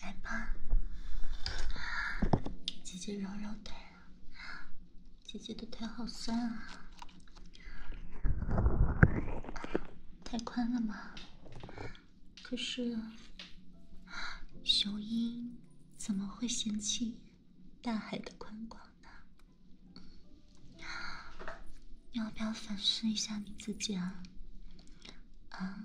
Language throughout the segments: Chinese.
来吧，姐姐揉揉腿，姐姐的腿好酸啊，太宽了吗？可是，雄鹰怎么会嫌弃大海的宽广呢？要不要反思一下你自己啊？啊！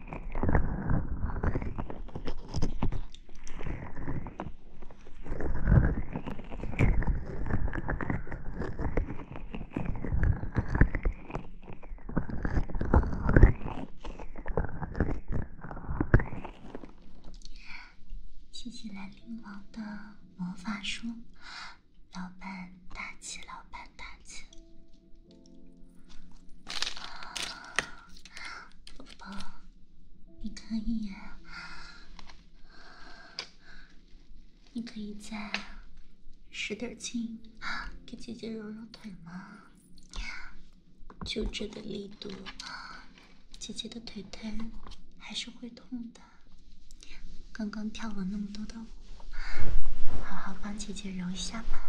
谢谢兰陵王的魔法书，老板大气，老板大气。宝宝，你可以，你可以再使点劲，给姐姐揉揉腿吗？就这点力度，姐姐的腿腿还是会痛的。刚刚跳了那么多的舞。好好帮姐姐揉一下吧。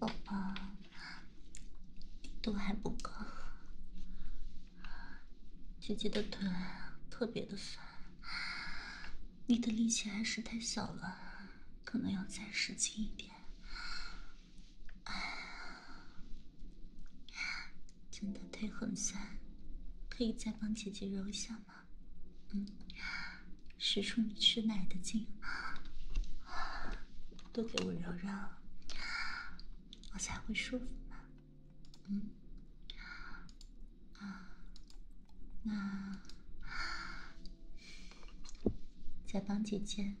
宝宝，度还不够，姐姐的腿特别的酸。你的力气还是太小了，可能要再使劲一点。哎，真的腿很酸，可以再帮姐姐揉一下吗？嗯，使出你吃奶的劲，都给我揉揉，我才会舒服嘛。嗯。啊，那再帮姐姐，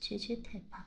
捶捶腿吧。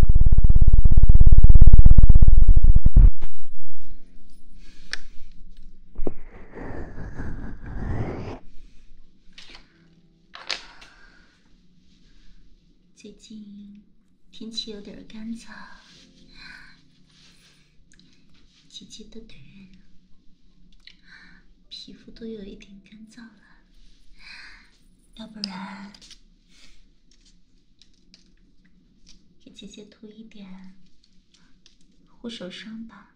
最近天气有点干燥，姐姐的腿皮肤都有一点干燥了，要不然。给姐姐涂一点护手霜吧。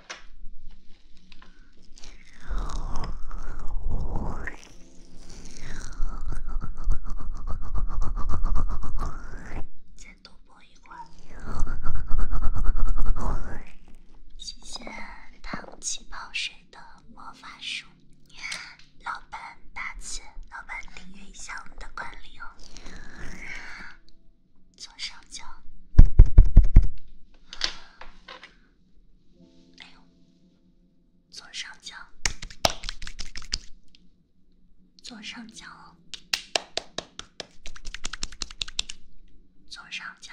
再多摸一会儿。谢谢糖气泡水的魔法书，老板打字，老板订阅一下我们的管理哦。左上角，哎呦，左上角，左上角，左上角。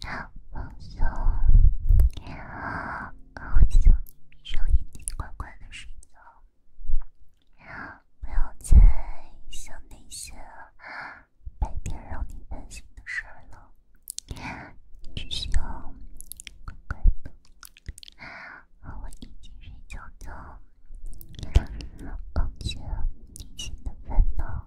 放松，好，好，闭上眼睛，乖乖地睡觉，不要再想那些白天让你担心的事儿了，继续，乖乖地和我一起睡觉觉，放松，平静地烦恼。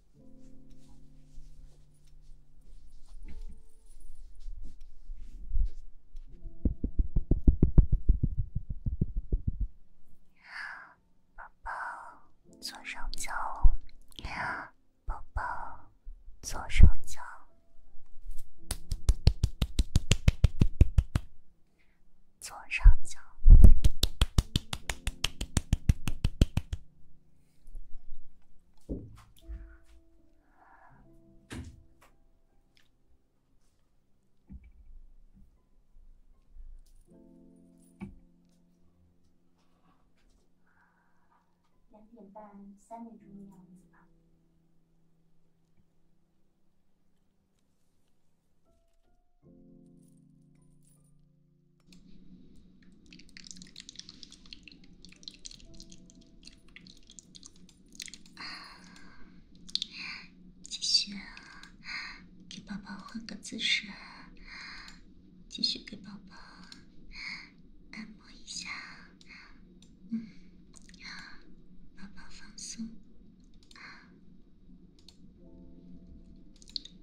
宝宝，左上角。宝宝，左上角。左上角。两点半、三点钟的样子吧。继续啊，给宝宝换个姿势，继续给宝宝按摩一下，嗯，让宝宝放松。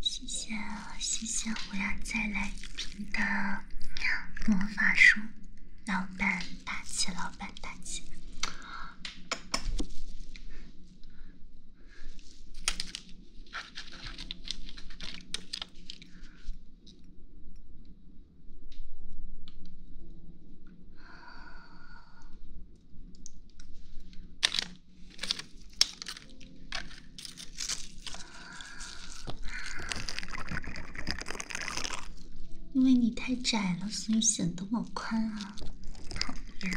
谢谢谢谢！我要再来一瓶的魔法书，老板大气，老板大气。因为你太窄了，所以显得我宽啊！讨厌。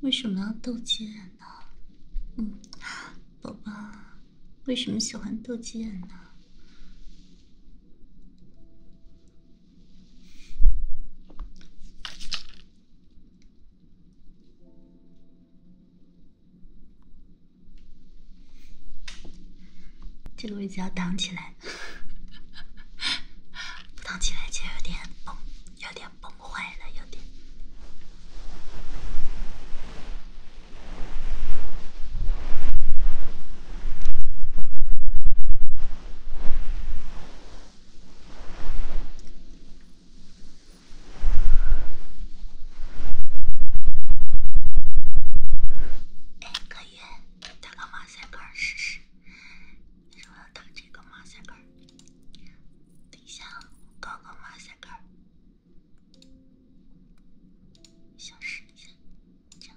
为什么要斗鸡眼呢？嗯，宝宝，为什么喜欢斗鸡眼呢？这个位置要挡起来，挡起来就有点崩，有点崩坏了，有点。哎，可以打个马赛克试试。你说要打这个马赛克，等一下搞个马赛克，消失，消失，这样。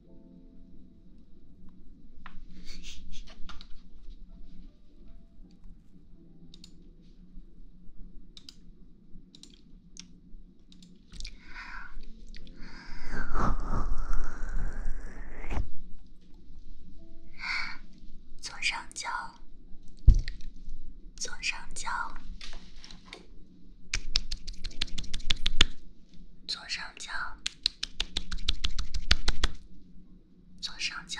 左上角，左上角，左上角。左上角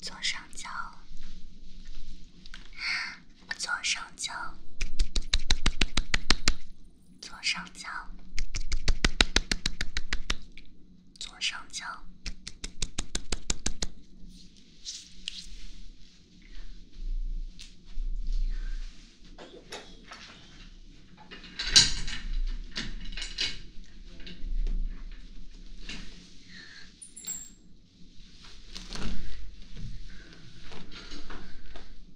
左上角，左上角。左上角，左上角。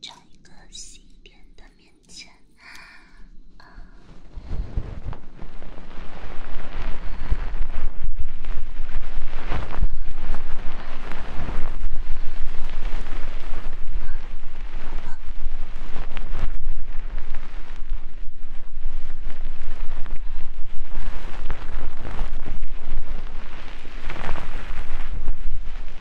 找一个细一点的棉签。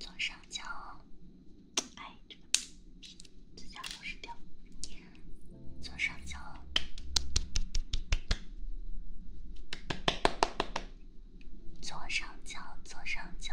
左上角，哎，这个嘴角都是掉。左上角，左上角，左上角。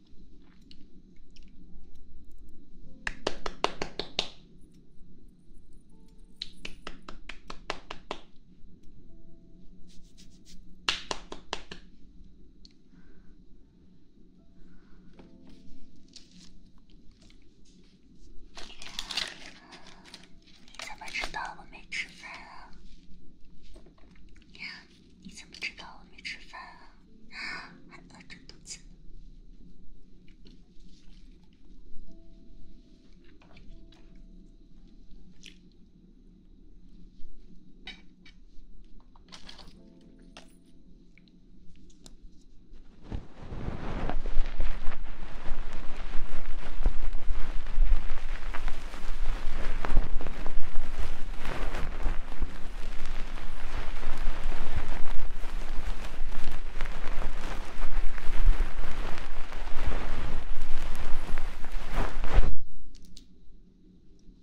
你怎么知道我没吃饭啊？你怎么知道我没吃饭啊？还饿着肚子。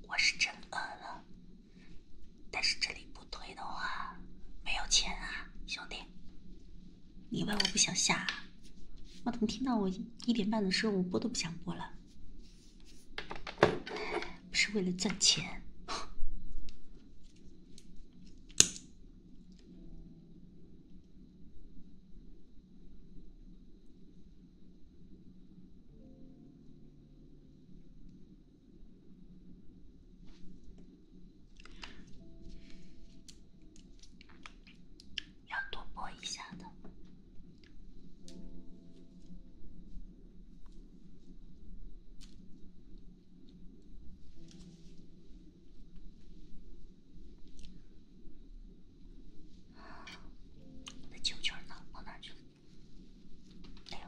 我是真饿了，但是这里不推的话，没有钱啊，兄弟。你以为我不想下，我怎么听到我一点半的时候，我播都不想播了。不是为了赚钱，要多播一下的。我的球球呢？往哪去？哎呦！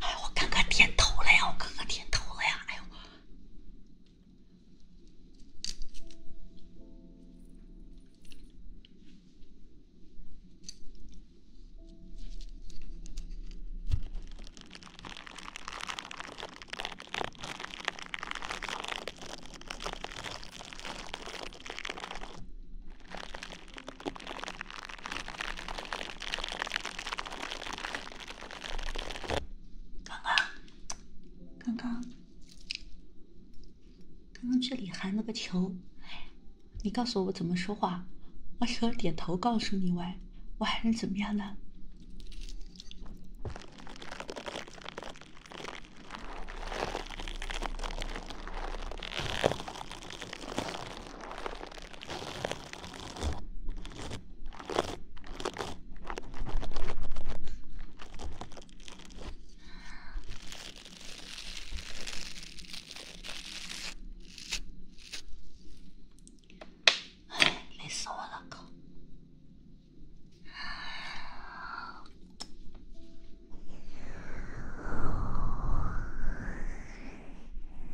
哎，我刚刚点头了呀！我刚刚点头了呀！哎呦！刚刚，刚刚，刚刚这里含了个球。你告诉我我怎么说话？我除了点头告诉你外，我还能怎么样呢？唉，累死我了，靠！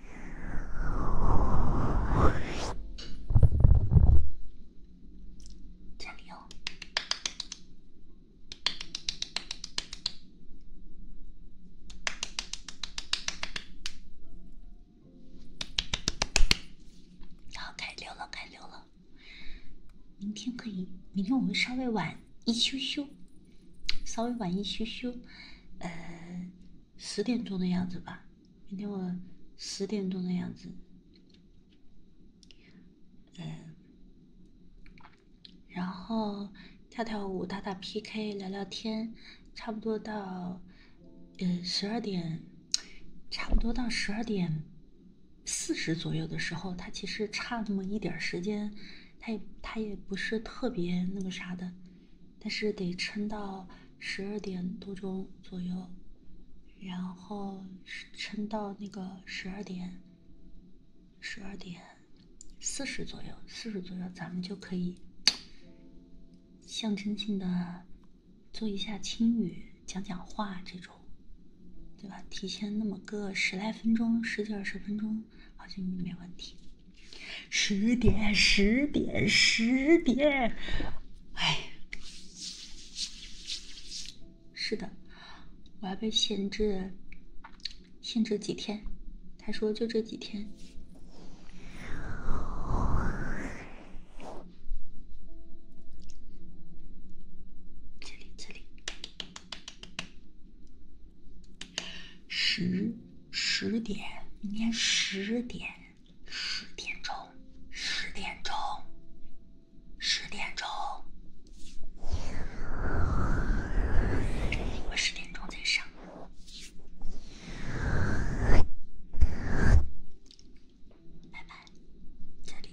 加油！好，开溜了，开溜了。明天可以，明天我们稍微晚一休休，稍微晚一休休，呃。十点钟的样子吧，明天我十点钟的样子，嗯，然后跳跳舞、打打 P K、聊聊天，差不多到嗯十二点，差不多到十二点四十左右的时候，他其实差那么一点时间，他也他也不是特别那个啥的。但是得撑到十二点多钟左右，然后撑到那个十二点，十二点四十左右，四十左右咱们就可以象征性的做一下轻语、讲讲话这种，对吧？提前那么个十来分钟、十几二十分钟，好像没问题。十点，十点，十点，哎，是的，我要被限制，限制几天？他说就这几天。这里，这里。十十点，明天十点，十点钟，十点钟，十点钟，我十点钟再上，拜拜，再见